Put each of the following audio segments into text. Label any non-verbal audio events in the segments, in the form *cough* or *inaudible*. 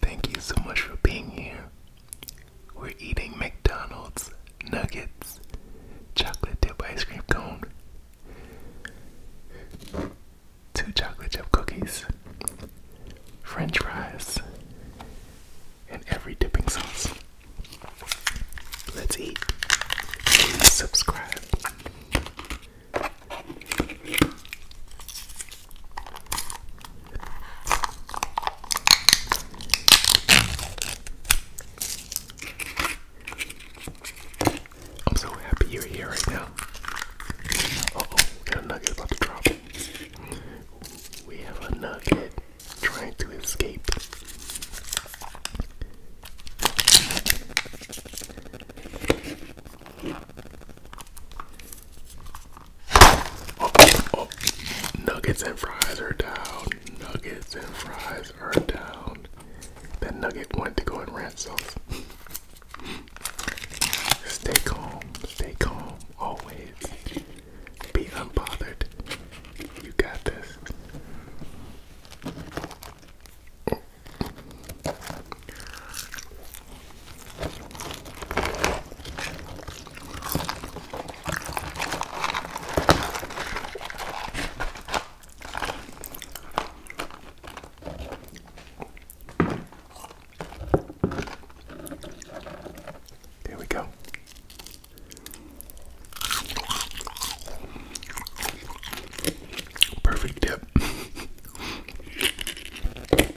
Thank you so much for being here. We're eating McDonald's nuggets, chocolate dip ice cream cone, two chocolate chip cookies, french fries, and every dipping sauce. Let's eat. subscribe. I'm so happy you're here right now. oh, a nugget about to drop. We have a nugget trying to escape. Nuggets and fries are down. Nuggets and fries are down. That nugget wanted to go and ranch sauce. stay calm. Stay calm. Always. Be unbothered. You got this. There we go. Perfect dip. *laughs*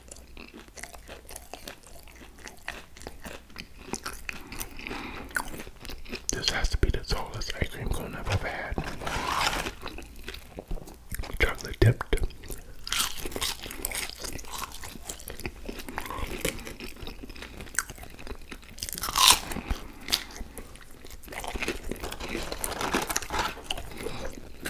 This has to be the tallest ice cream cone I've ever had. Chocolate dipped.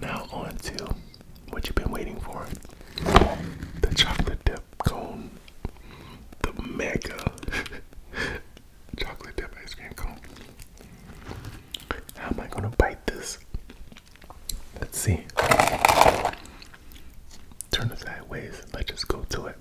Now on to what you've been waiting for. The chocolate dip cone the mega chocolate dip ice cream cone. How am I gonna bite this? Let's see. Turn it sideways. Let's just go to it.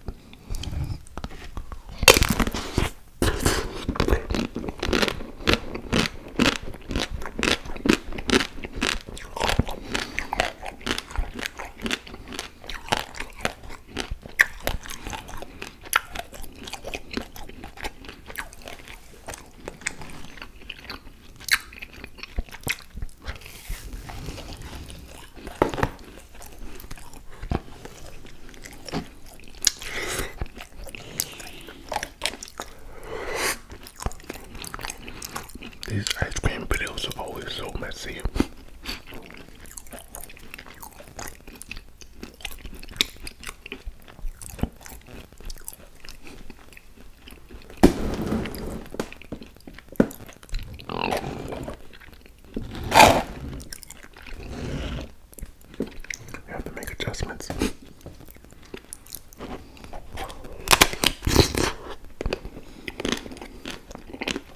These ice cream videos are always so messy. You have to make adjustments.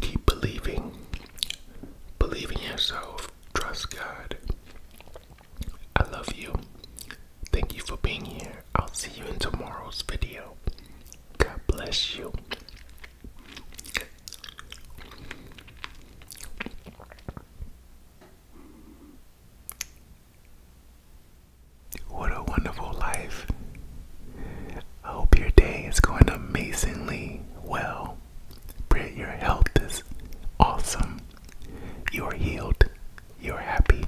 Keep believing, believe in yourself, trust God. I love you. Thank you for being here. I'll see you in tomorrow's video. God bless you. What a wonderful life. I hope your day is going amazingly well. Pray your health is awesome. You're healed. You're happy.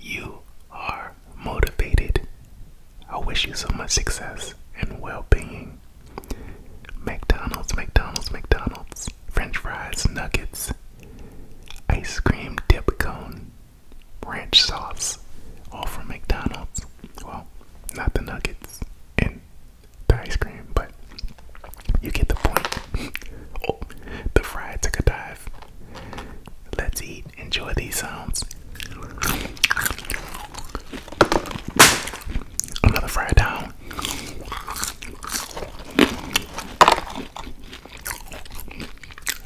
You are motivated. I wish you so much success and well being. McDonald's, McDonald's, McDonald's, French fries, nuggets, ice cream dip cone, ranch sauce, all from McDonald's. Well, not the nuggets and the ice cream, but you get the point. *laughs* oh, the fry took a dive. Let's eat. Enjoy these sounds. Another fried down.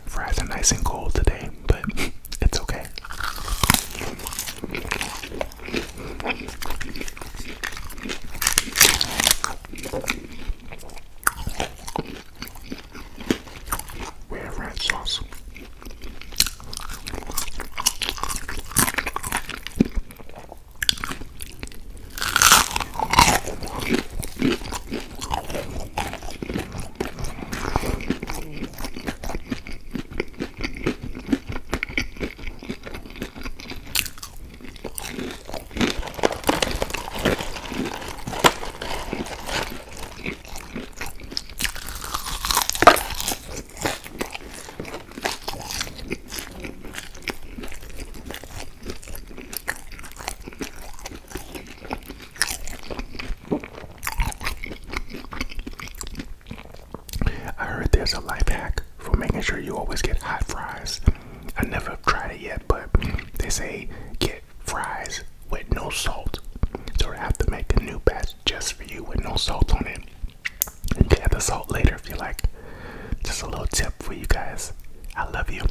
Fries are nice and cold today, but it's okay with red sauce. I heard there's a life hack for making sure you always get hot fries. I never tried it yet, but they say get fries with no salt. So I have to make a new batch just for you with no salt on it. You can add the salt later if you like. Just a little tip for you guys. I love you.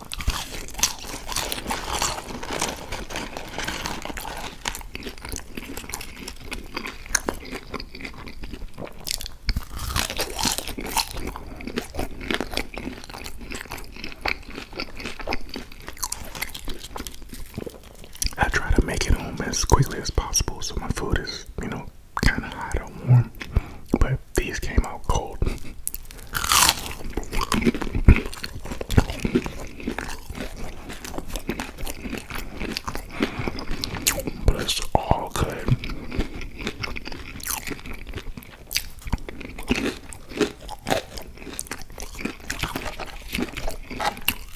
I try to make it home as quickly as possible so my food is, you know, kind of hot or warm, these came out cold. But it's all good.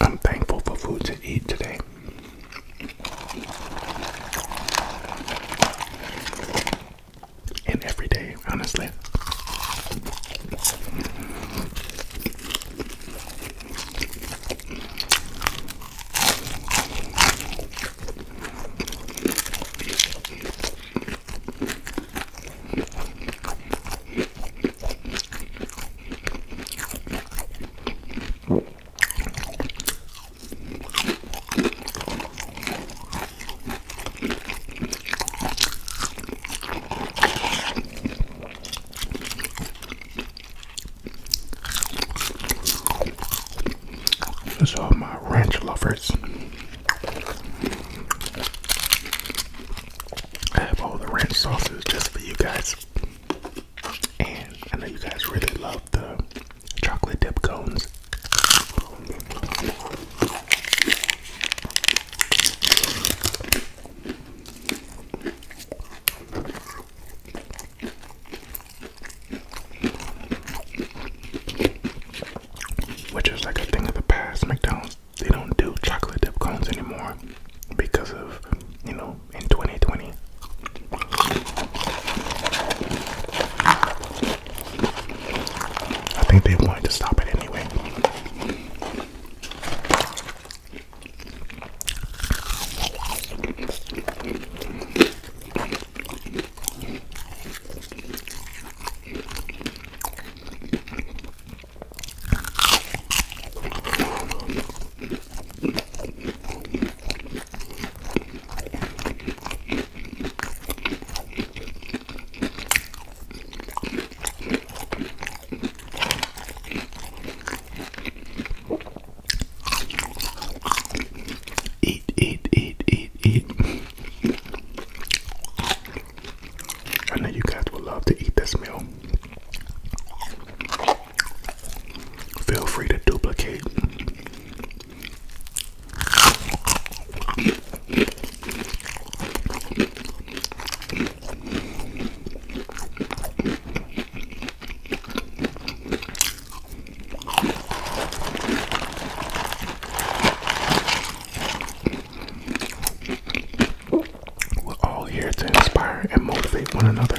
I'm thankful for food to eat today. In every day, honestly. This all my ranch lovers. I have all the ranch sauces just for you guys. And I know you guys really love the chocolate dip cones. Which is like a thing of the past. McDonald's, they don't do chocolate dip cones anymore because of, you know, in 2020. I think they wanted to stop it anyway. Eat, eat, eat, eat, eat. I know you guys will love to eat this meal. Feel free to duplicate we're all here to inspire and motivate one another.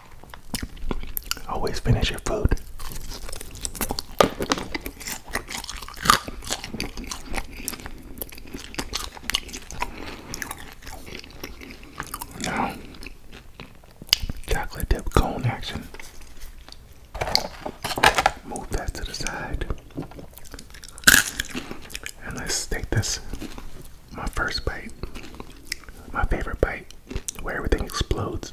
Always finish your food. Now, chocolate dip cone action. Move that to the side. And let's take this, my first bite, my favorite bite, where everything explodes.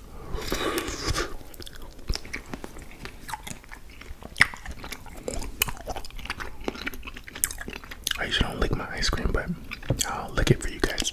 I usually don't lick my ice cream, but I'll lick it for you guys.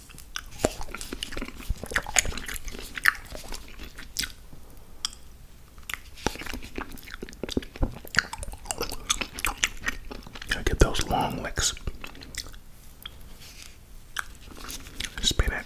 Gotta get those long licks. Spin it.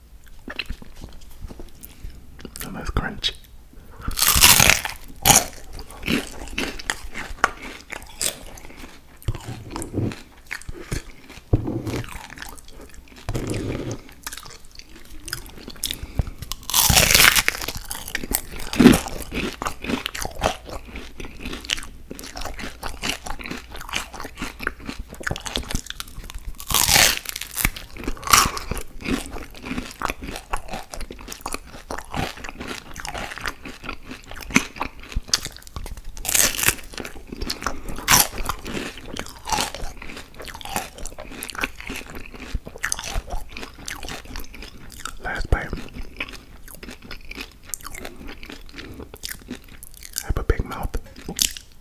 And oh, that's crunchy. Last bite. I have a big mouth.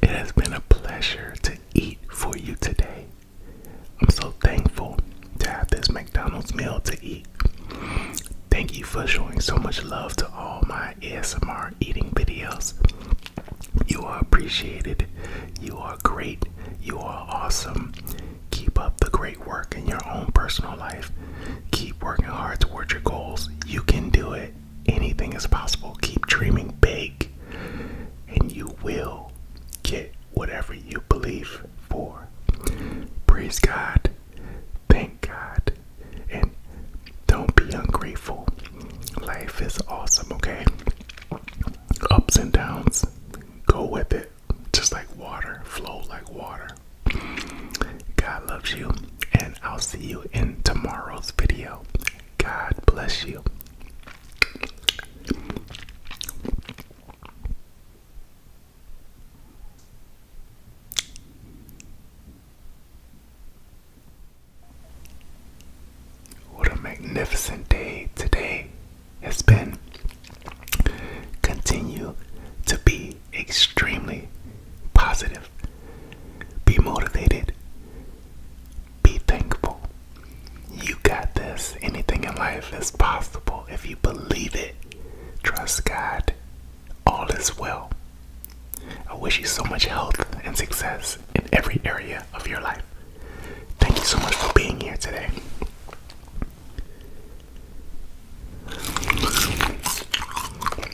It has been a pleasure to eat for you today. I'm so thankful to have this McDonald's meal to eat. Thank you for showing so much love to all my ASMR eating videos. You are appreciated. You are great. You are awesome. Keep up the great work in your own personal life. Keep working hard towards your goals. You can do it anything is possible. Keep dreaming big, and you will get whatever you believe for. Praise God, thank God, and don't be ungrateful. Life is awesome, okay? Ups and downs, go with it. Just like water, flow like water. God loves you and I'll see you in tomorrow's video. God bless you. What a magnificent day today has been. Continue to be extremely positive. Be motivated. Be thankful. You got this. Anything in life is possible if you believe it. Trust God. All is well. I wish you so much health and success in every area of your life. Thank you so much for being here today.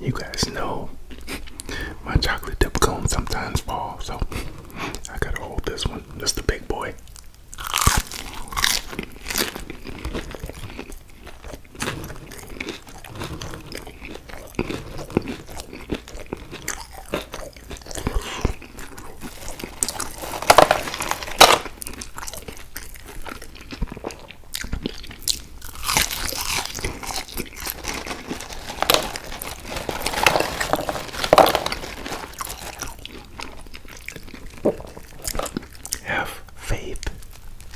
You guys know my chocolate dip cones sometimes fall, so I gotta hold this one. That's the big boy. Have faith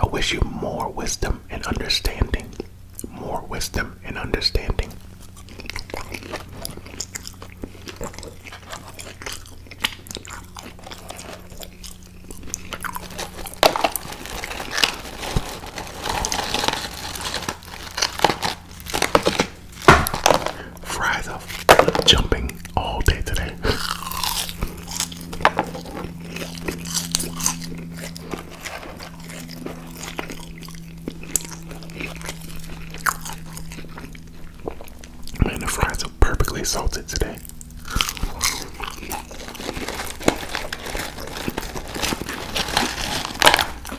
I wish you more wisdom and understanding. More wisdom and understanding. Fries are jumping all day today. Man, the fries are perfectly salted today.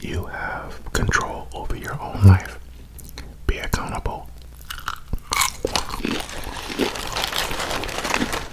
You have control over your own life. Be accountable.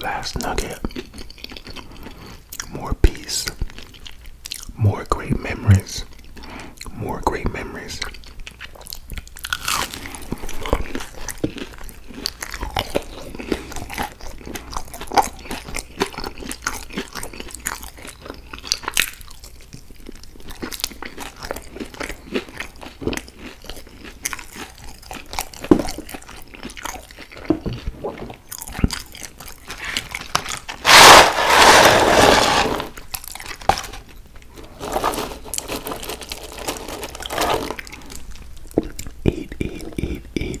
Last nugget. More peace. More great memories. More great memories. Eat, eat, eat, eat.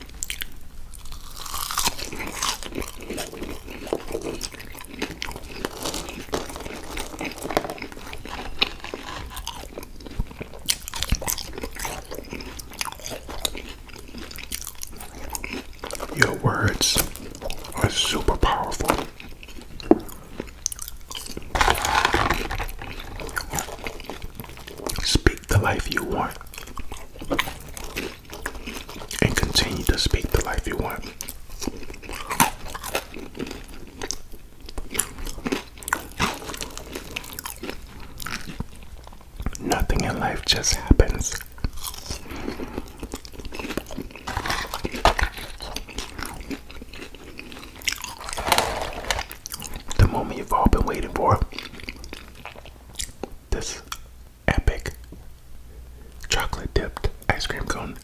Your words are super powerful. Speak the life you want and continue to speak the life you want. Nothing in life just happens. The moment you've all been waiting for. This epic chocolate dipped ice cream cone.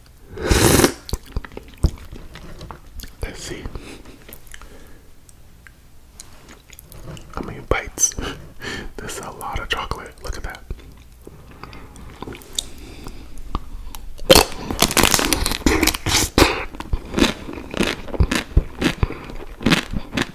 Let's see. How many bites? *laughs* this is a lot of chocolate. Look at that.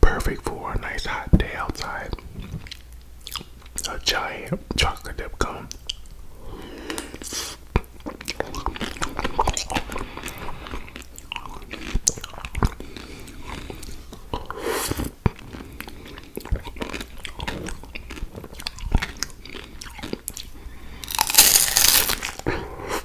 Perfect for a nice hot day outside. A giant chocolate dip cone.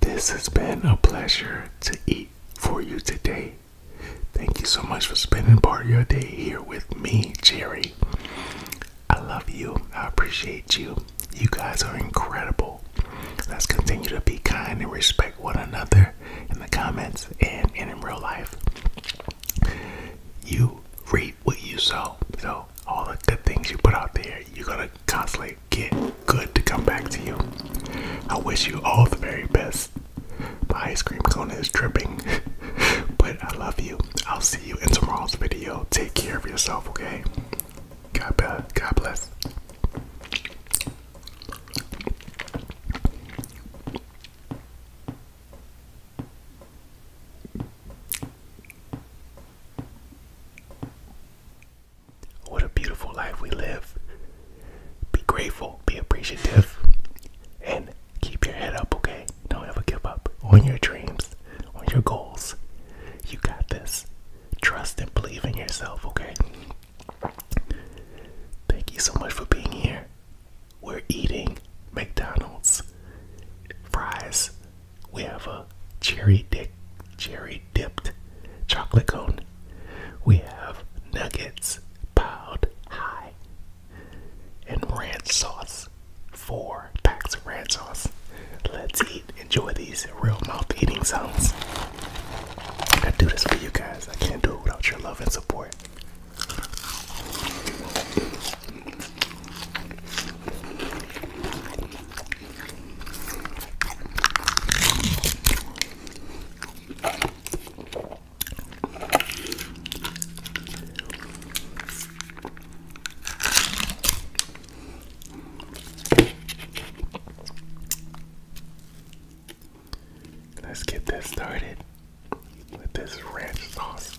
This has been a pleasure to eat for you today. Thank you so much for spending part of your day here with me, Jerry. I love you. I appreciate you. You guys are incredible. Let's continue to be kind and respect one another in the comments and, in real life. You reap what you sow. So, all the good things you put out there, you're going to constantly get good to come back to you. I wish you all the very best. My ice cream cone is dripping, *laughs* but I love you. I'll see you in tomorrow's video. Take care of yourself, okay? God bless. God bless. What a beautiful life we live. Be grateful, be appreciative, and keep your head up, okay? Don't ever give up on your dreams, on your goals. You got this. Trust and believe in yourself, okay? Thank you so much for being here. We're eating McDonald's fries. We have a cherry dip, cherry dipped chocolate cone. We have nuggets piled high and ranch sauce. Four packs of ranch sauce. Let's eat enjoy these real mouth eating sounds. I do this for you guys. I can't do it without your love and support. Let's get this started with this ranch sauce.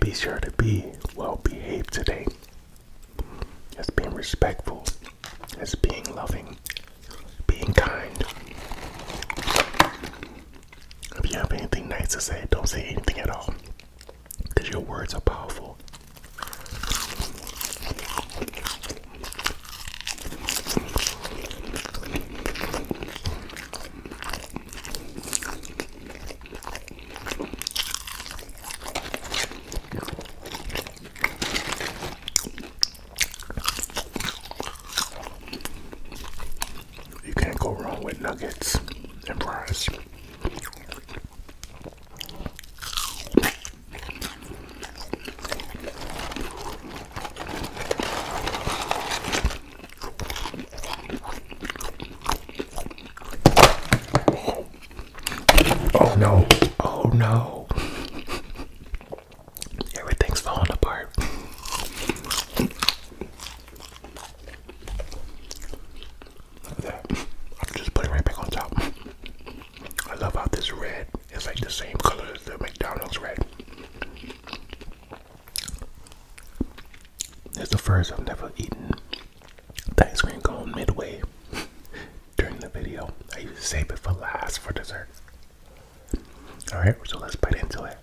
Be sure to be well behaved today. As being respectful, as being loving, being kind. If you have anything nice to say, don't say anything at all. Because your words are powerful. You can't go wrong with nuggets and fries. Oh no, oh no. Everything's falling apart. Look I'll just put it right back on top. I love how this red it's like the same color as the McDonald's red. It's the first I've never eaten the ice cream cone midway *laughs* during the video. I used to save it for last for dessert. Alright, so let's bite into it.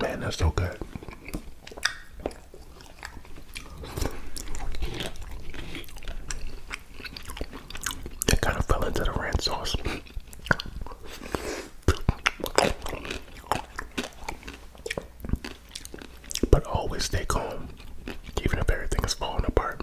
Man, that's so good. It kind of fell into the ranch sauce. But always stay calm, even if everything is falling apart.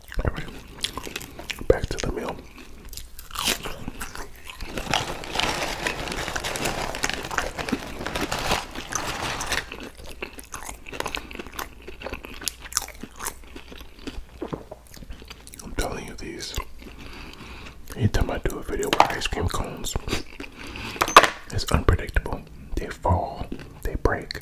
back to the meal. I'm telling you these. Anytime I do a video with ice cream cones, it's unpredictable. They fall, they break,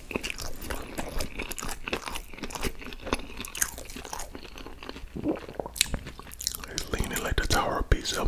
It's leaning like the Tower of Pisa.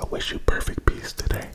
I wish you perfect peace today.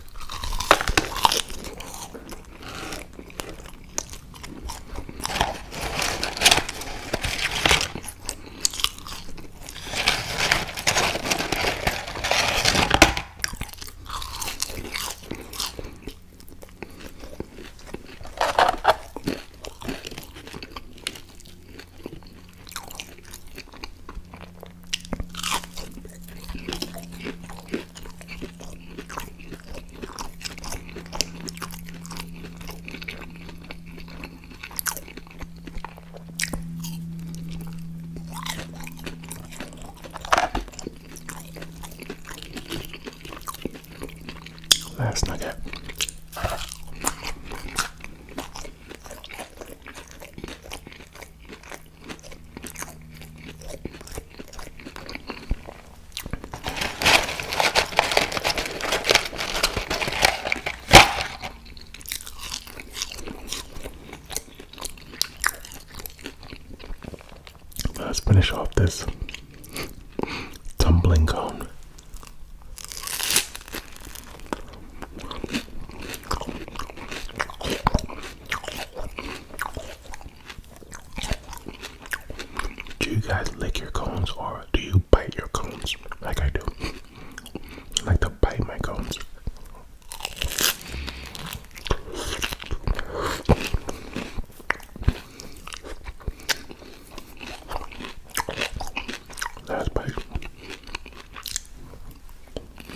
Last nugget. Let's finish off this tumbling cone. Do you guys lick your cones or do you bite your cones like I do? like to bite my cones. Last bite.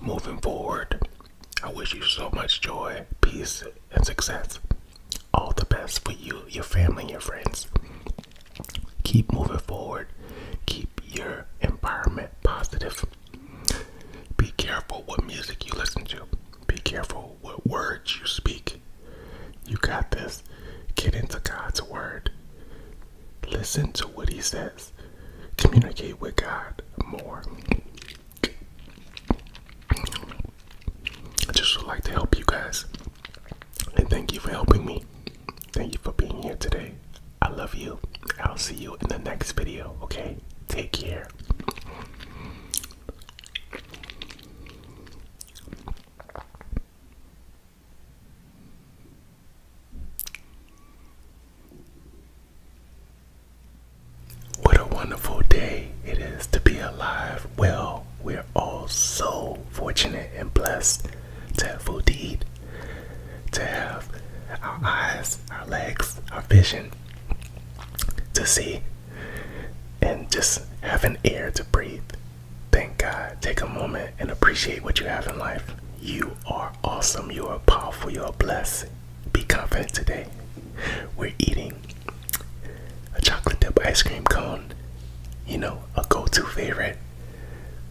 Moving forward, I wish you so much joy, peace, and success. All the best for you, your family, your friends. Keep moving forward. Keep your environment positive. Be careful what music you listen to. Be careful what words you speak. You got this. Get into God's Word. Listen to what He says. Communicate with God more. I just would like to help you guys. And thank you for helping me. Thank you for being here today. I love you. I'll see you in the next video, okay? Take care. What a wonderful day it is to be alive. Well, we're all so fortunate and blessed to have food to eat, to have our eyes, our legs, our vision to see, and just have an air to breathe. Thank God. Take a moment and appreciate what you have in life. You are awesome. You are powerful. You are blessed. Be confident today. We're eating a chocolate dip ice cream cone, you know, a go to favorite,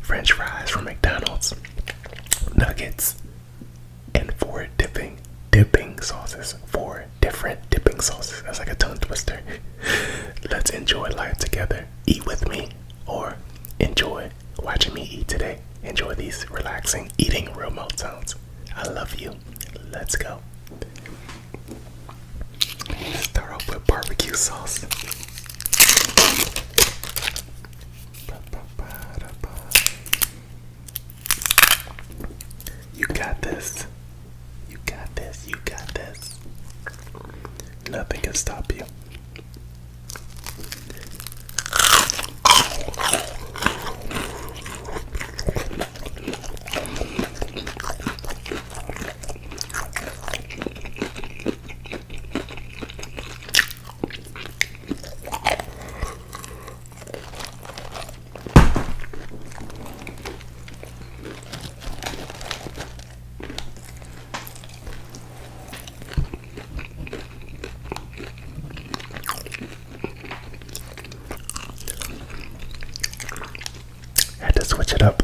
French fries from McDonald's, nuggets, and four dipping dipping sauces. it different dipping sauces. That's like a tongue twister. *laughs* Let's enjoy life together. Eat with me or enjoy watching me eat today. Enjoy these relaxing eating remote sounds. I love you. Let's go. Start off with barbecue sauce. You got this. You got this, you got this. Nothing can stop you. Had to switch it up.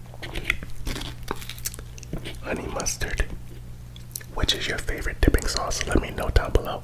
honey mustard. Which is your favorite dipping sauce? Let me know down below.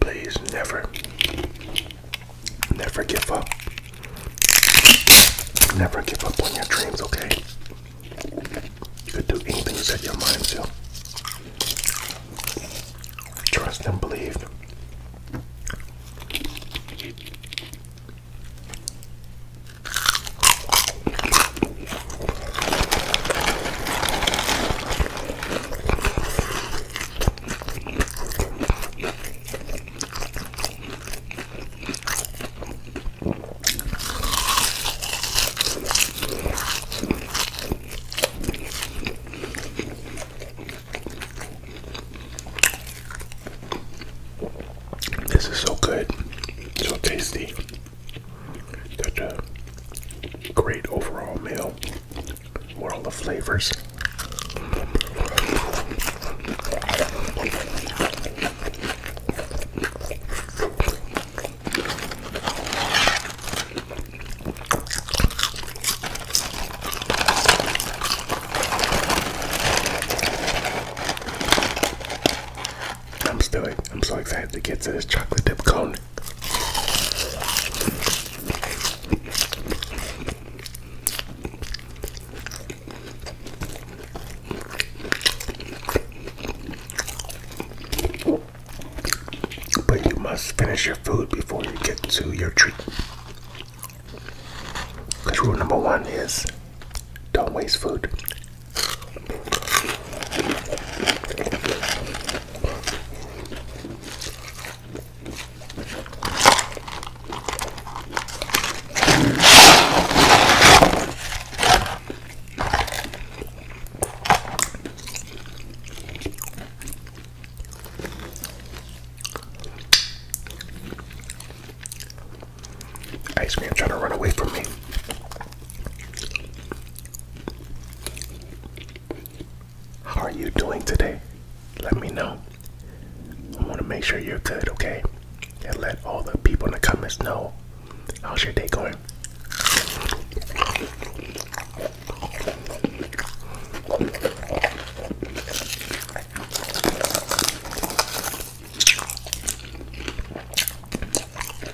Please never, never give up. Never give up on your dreams, okay? You can do anything you set your mind to. Trust and believe. This is so good, so tasty. Such a great overall meal. World of the flavors. I'm still I'm so excited to get to this chocolate dip cone. But you must finish your food before you get to your treat. Because rule number one is don't waste food. Ice cream, trying to run away from me. How are you doing today? Let me know. I want to make sure you're good, okay? And let all the people in the comments know how's your day going.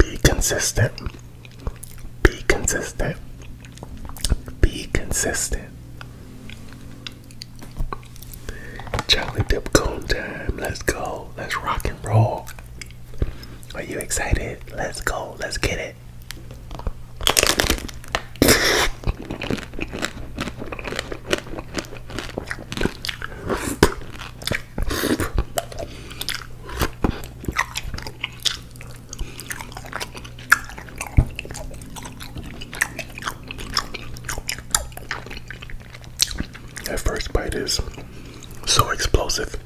Be consistent. Be consistent. Be consistent. Chocolate dip cone time. Let's go. Let's rock and roll. Are you excited? Let's go. Let's get it. That first bite is so explosive.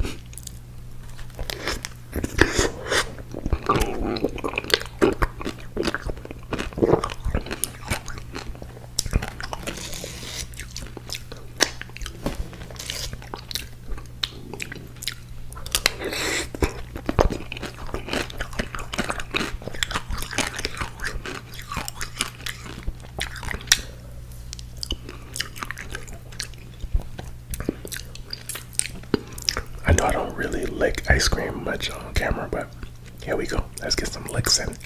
I know I don't really lick ice cream much on camera, but here we go. Let's get some licks in.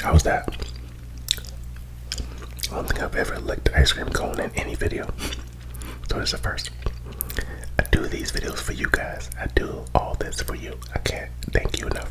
How's that? I don't think I've ever licked an ice cream cone in any video. So it's the first. I do these videos for you guys. I do all this for you. I can't thank you enough.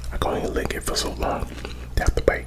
I am going to lick it for so long. They have bite.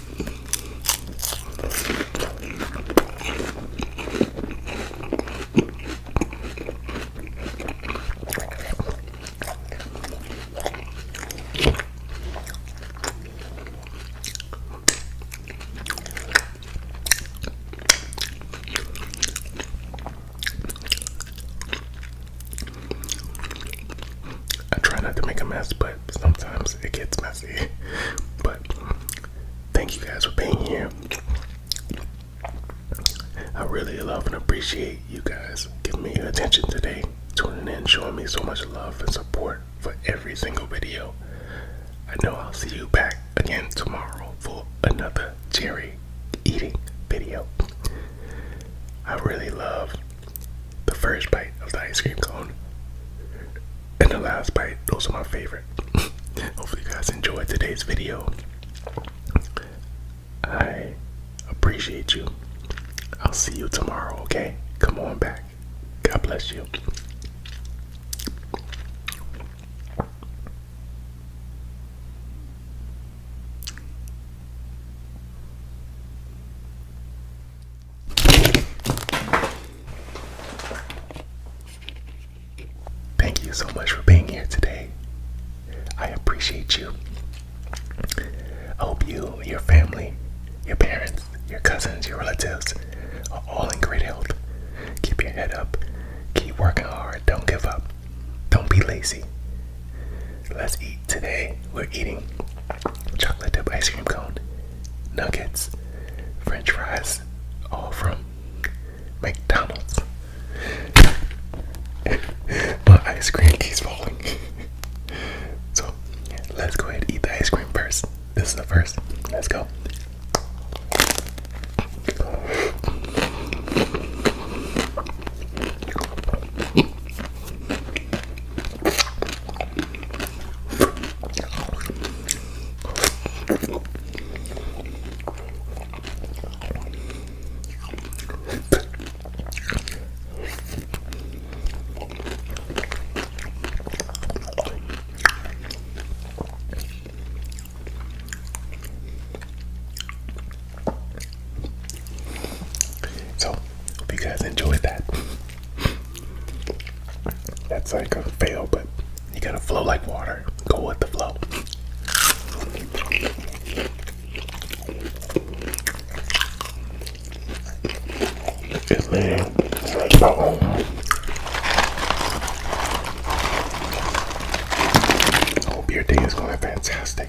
I try not to make a mess, but sometimes it gets messy. *laughs* But thank you guys for being here. I really love and appreciate you guys giving me your attention today, tuning in, showing me so much love and support for every single video. I know I'll see you back again tomorrow for another cherry eating video. I really love the first bite of the ice cream cone and the last bite. Those are my favorite. *laughs* Hopefully, you guys enjoyed today's video. I appreciate you. I'll see you tomorrow, okay? Come on back. God bless you. Thank you so much for being here today. I appreciate you. I hope you, your family, your parents, your cousins, your relatives are all in great health. Keep your head up. Keep working hard. Don't give up. Don't be lazy. Let's eat today. We're eating chocolate dip ice cream cone nuggets, french fries, all from McDonald's. *laughs* My ice cream keeps falling. *laughs* so let's go ahead and eat the ice cream first. This is the first. Let's go. So, hope you guys enjoyed that. That's like a fail, but you gotta flow like water. Go with the flow. It's me. It's like day is going fantastic.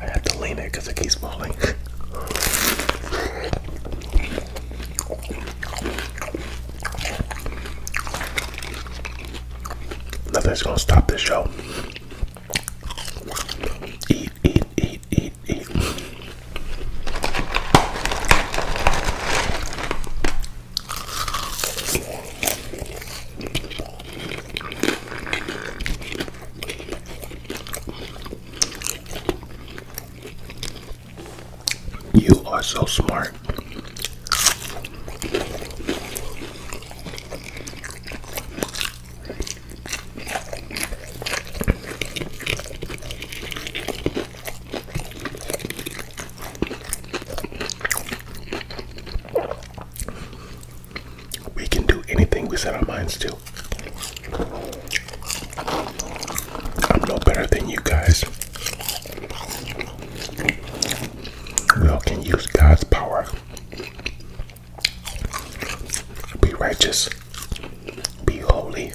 I have to lean it because it keeps falling. *laughs* Nothing's gonna stop this show. Eat, eat, eat, eat, eat. You are so smart. We can do anything we set our minds to. I'm no better than you guys. We all can use God's power be righteous. Be holy.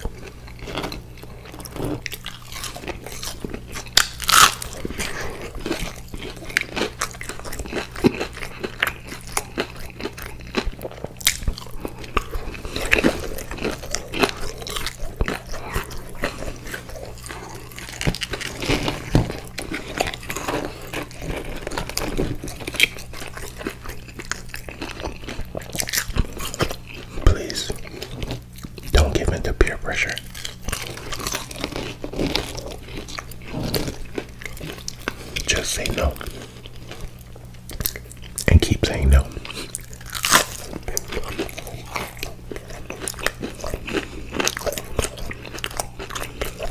Please don't give in to peer pressure. Just say no and keep saying no.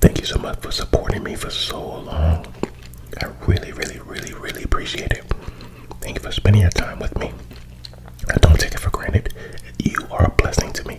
Thank you so much for supporting me for so long. I really, really, really, really appreciate it. Thank you for spending your time with me. I don't take it for granted. You are a blessing to me.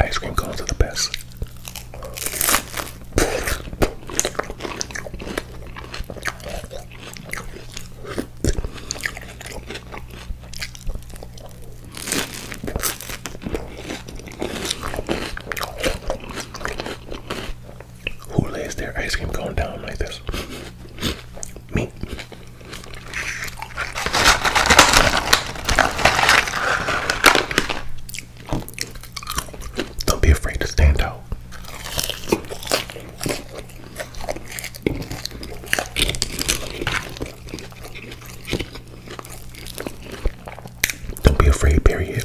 Ice cream cones are the best. Who lays their ice cream cone down like this? Me. Don't be afraid to stand out. Don't be afraid, period.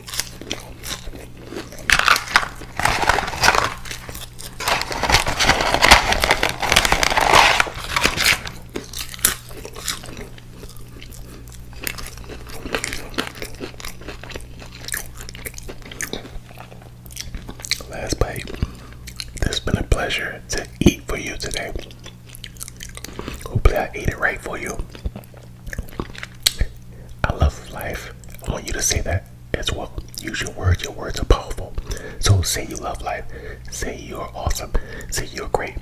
Last bite. It's been a pleasure to eat for you today. Hopefully, I ate it right for you. I love life. I want you to say that as well. Use your words. Your words are powerful. So say you love life. Say you are awesome. Say you're great.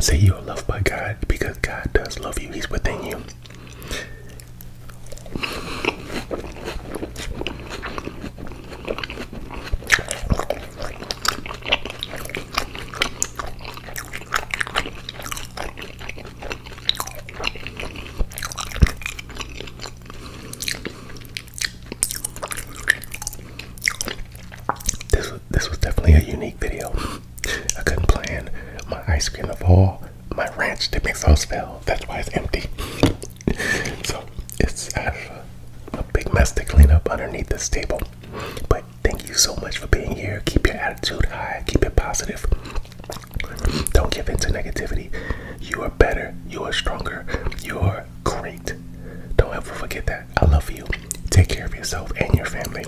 Say you are loved by God because God does love you. He's within you. This was, this was definitely a unique video. I couldn't plan my ice cream of all my ranch dipping sauce fell. That's why it's empty. *laughs* so it's a, a big mess to clean up underneath this table. But Thank you so much for being here. Keep your attitude high, keep it positive. Don't give in to negativity. You are better, you are stronger, you are great. Don't ever forget that. I love you. Take care of yourself and your family.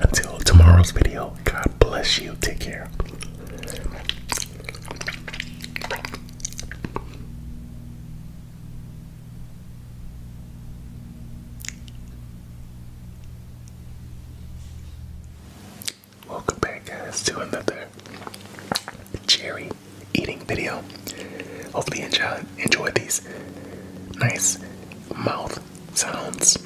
Until tomorrow's video, God bless you. Take care. Welcome back, guys, to another cherry eating video. Hopefully, you enjoy, enjoy these nice mouth sounds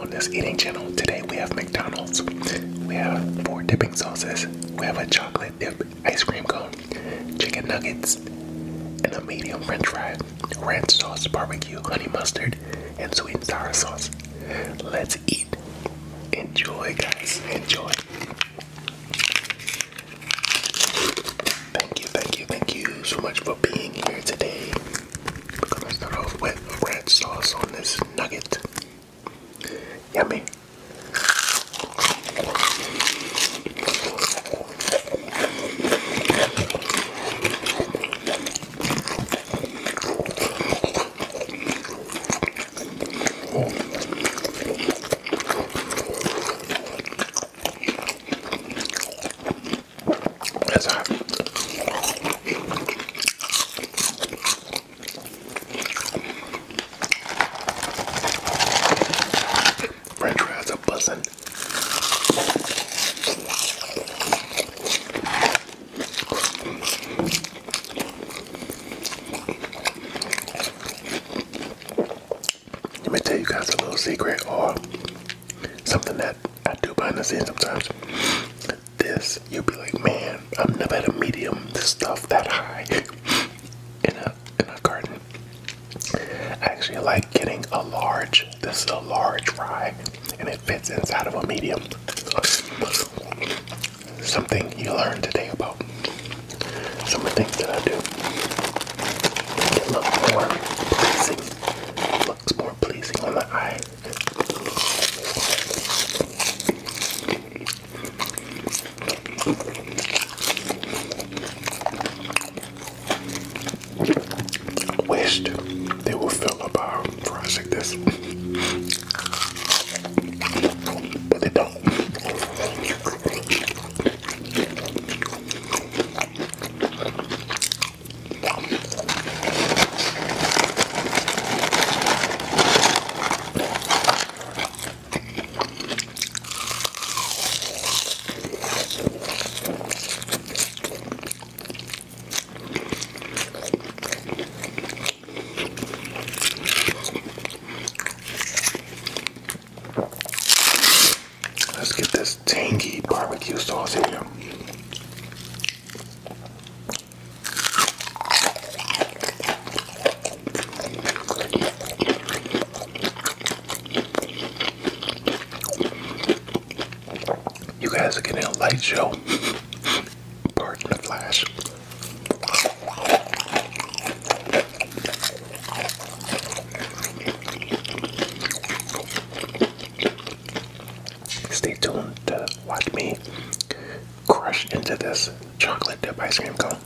on this eating channel. Today, we have McDonald's, we have four dipping sauces, we have a chocolate dip ice cream cone, chicken nuggets, and a medium french fry ranch sauce, barbecue, honey mustard, and sweet and sour sauce. Let's eat. Enjoy, guys. Enjoy. Thank you, thank you, thank you so much for being here today. We're going start off with ranch sauce on this nugget. Yummy. That's hot. French fries are buzzing. Let me tell you guys a little secret or something that I do behind the scenes sometimes. This, you'll be like, man, I've never had a medium, this stuff that high *laughs* in a in a garden. I actually like getting a large. This is a large fry, and it fits inside of a medium. Something you learned today about some of the things that I do. It looks more pleasing. looks more pleasing on the eye. I wish they would fill up our fries like this. But they don't. Let's get this tangy barbecue sauce here. You guys are getting a light show. Pardon the flash. Stay tuned watch me crush into this chocolate dip ice cream cone.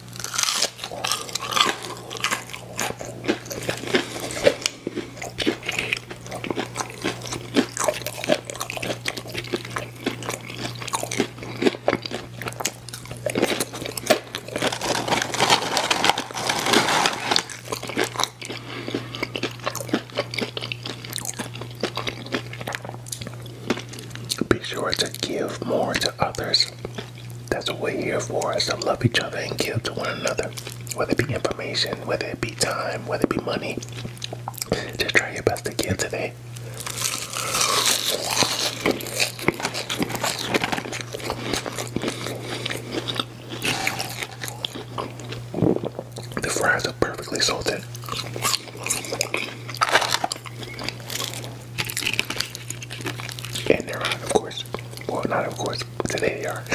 Be sure to give more to others. That's what we're here for, is to love each other and give to one another whether it be information, whether it be time, whether it be money. Just try your best again today. The fries are perfectly salted. And they're on, of course. Well, not of course. Today they are. *laughs*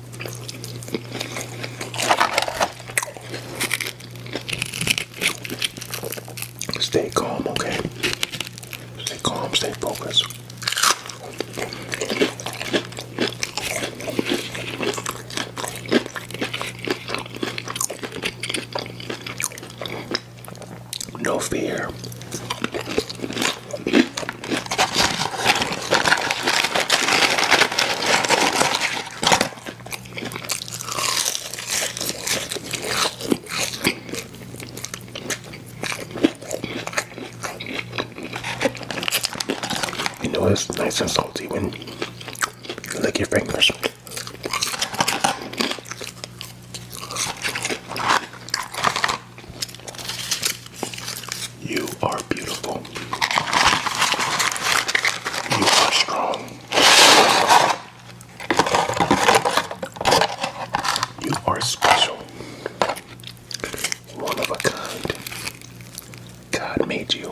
Stay calm, okay? Stay calm, stay focused. No fear. You know it's nice and salty when you lick your fingers. You are beautiful. You are strong. You are special. One of a kind. God made you.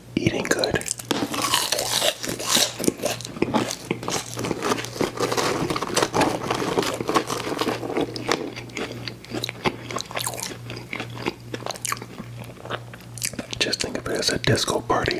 eating good. Just think of it as a disco party.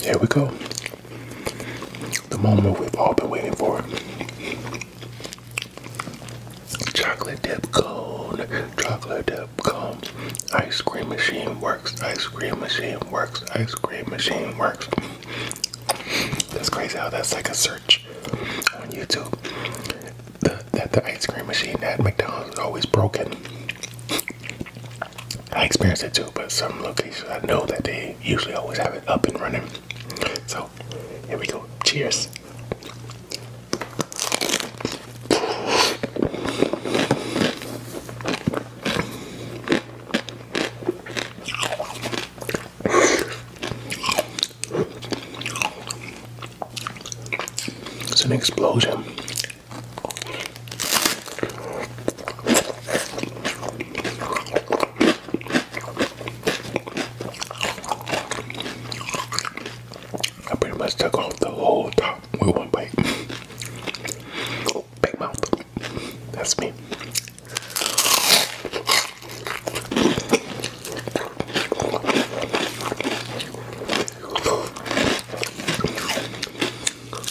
Here we go. The moment we've all been waiting for. Chocolate dip cone. Chocolate dip cone. Ice cream machine works. Ice cream machine works. Ice cream machine works. That's crazy how that's like a search on YouTube. that the ice cream machine at McDonald's is always broken. I experienced it too, but some locations I know that they usually always have it up and running. So here we go. Cheers. It's an explosion. I pretty much took off the whole top with one bite. Big mouth. That's me.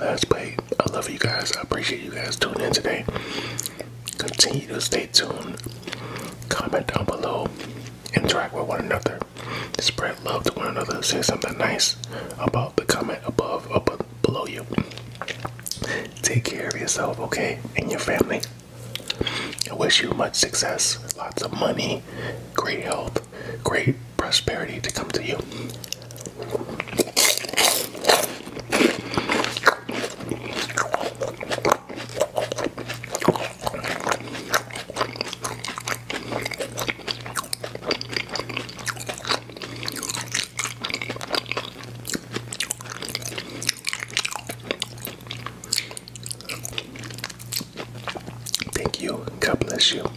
Last play. I love you guys. I appreciate you guys tuning in today. Continue to stay tuned. Comment down below. Interact with one another. Spread love to one another. Say something nice about the comment above or below you. Take care of yourself, okay? And your family. I wish you much success, lots of money, great help great prosperity to come to you. Thank you. God bless you.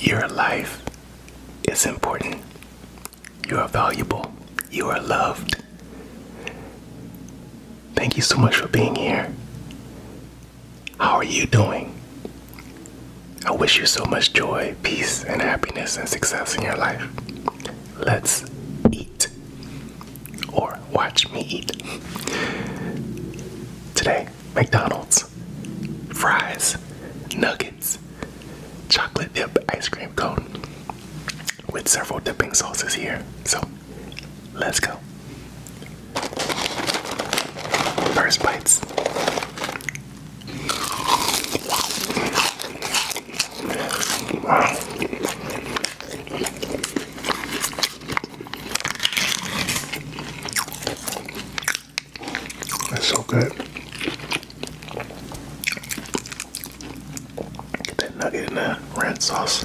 Your life is important. You are valuable. You are loved. Thank you so much for being here. How are you doing? I wish you so much joy, peace, and happiness and success in your life. Let's eat. Or watch me eat. Today, McDonald's, fries, nuggets, chocolate dip ice cream cone with several dipping sauces here. So let's go. First bites. That's so good. Get that nugget in the red sauce.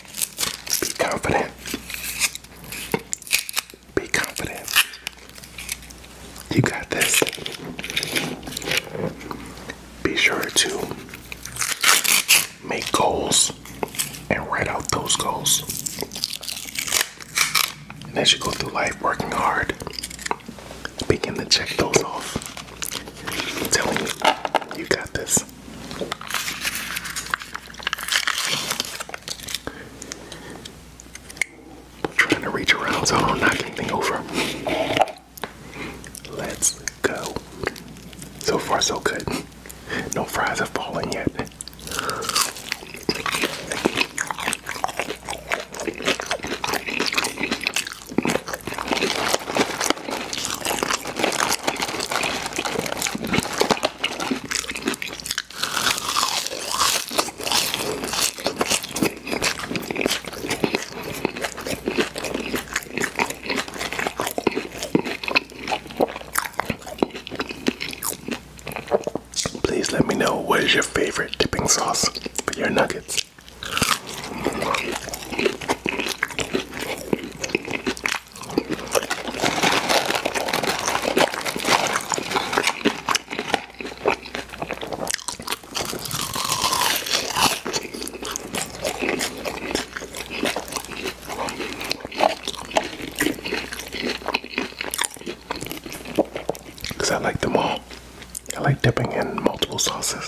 Be confident. Be confident. You got this. Be sure to make goals and write out those goals. And as you go through life working hard, begin to check those off. I'm you got this. Trying to reach around so I don't knock anything over. Let's go. So far, so good. No fries have fallen yet. Please let me know what is your favorite dipping sauce for your nuggets. Because I like them all. I like dipping in multiple sauces.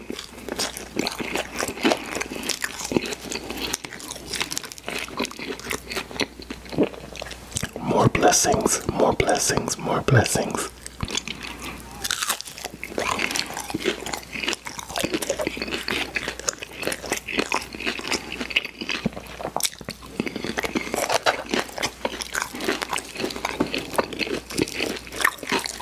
More blessings, more blessings, more blessings.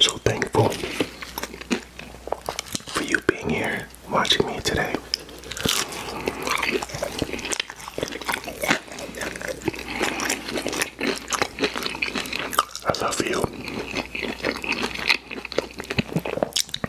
So thankful for you being here watching me today. I love you.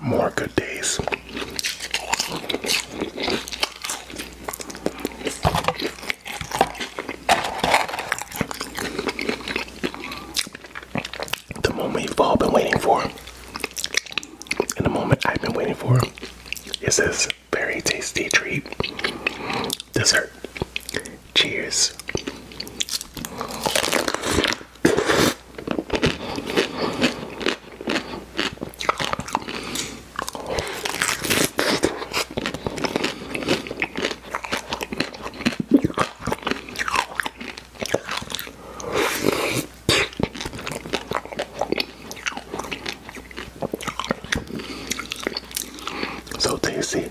More good days. The moment you've all been waiting for, and the moment I've been waiting for, is this very tasty treat dessert. Cheers. So tasty.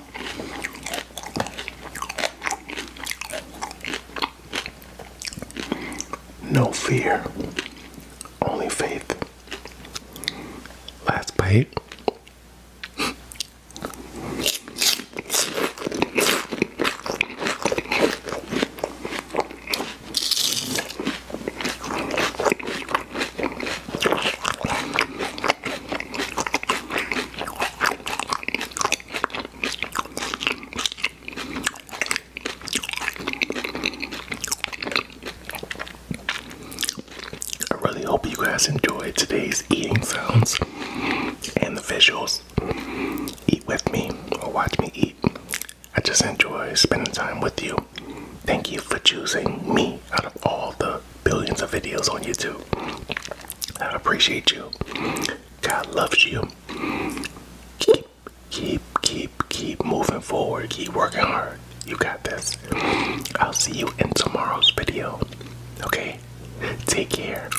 No fear, only faith. Last bite. I really hope you guys enjoyed today's eating sounds and the visuals. Eat with me or watch me eat. I just enjoy spending time with you. Thank you for choosing me out of all the billions of videos on YouTube. I appreciate you. God loves you. Keep, keep, keep, keep moving forward. Keep working hard. You got this. I'll see you in tomorrow's video. Okay? Take care.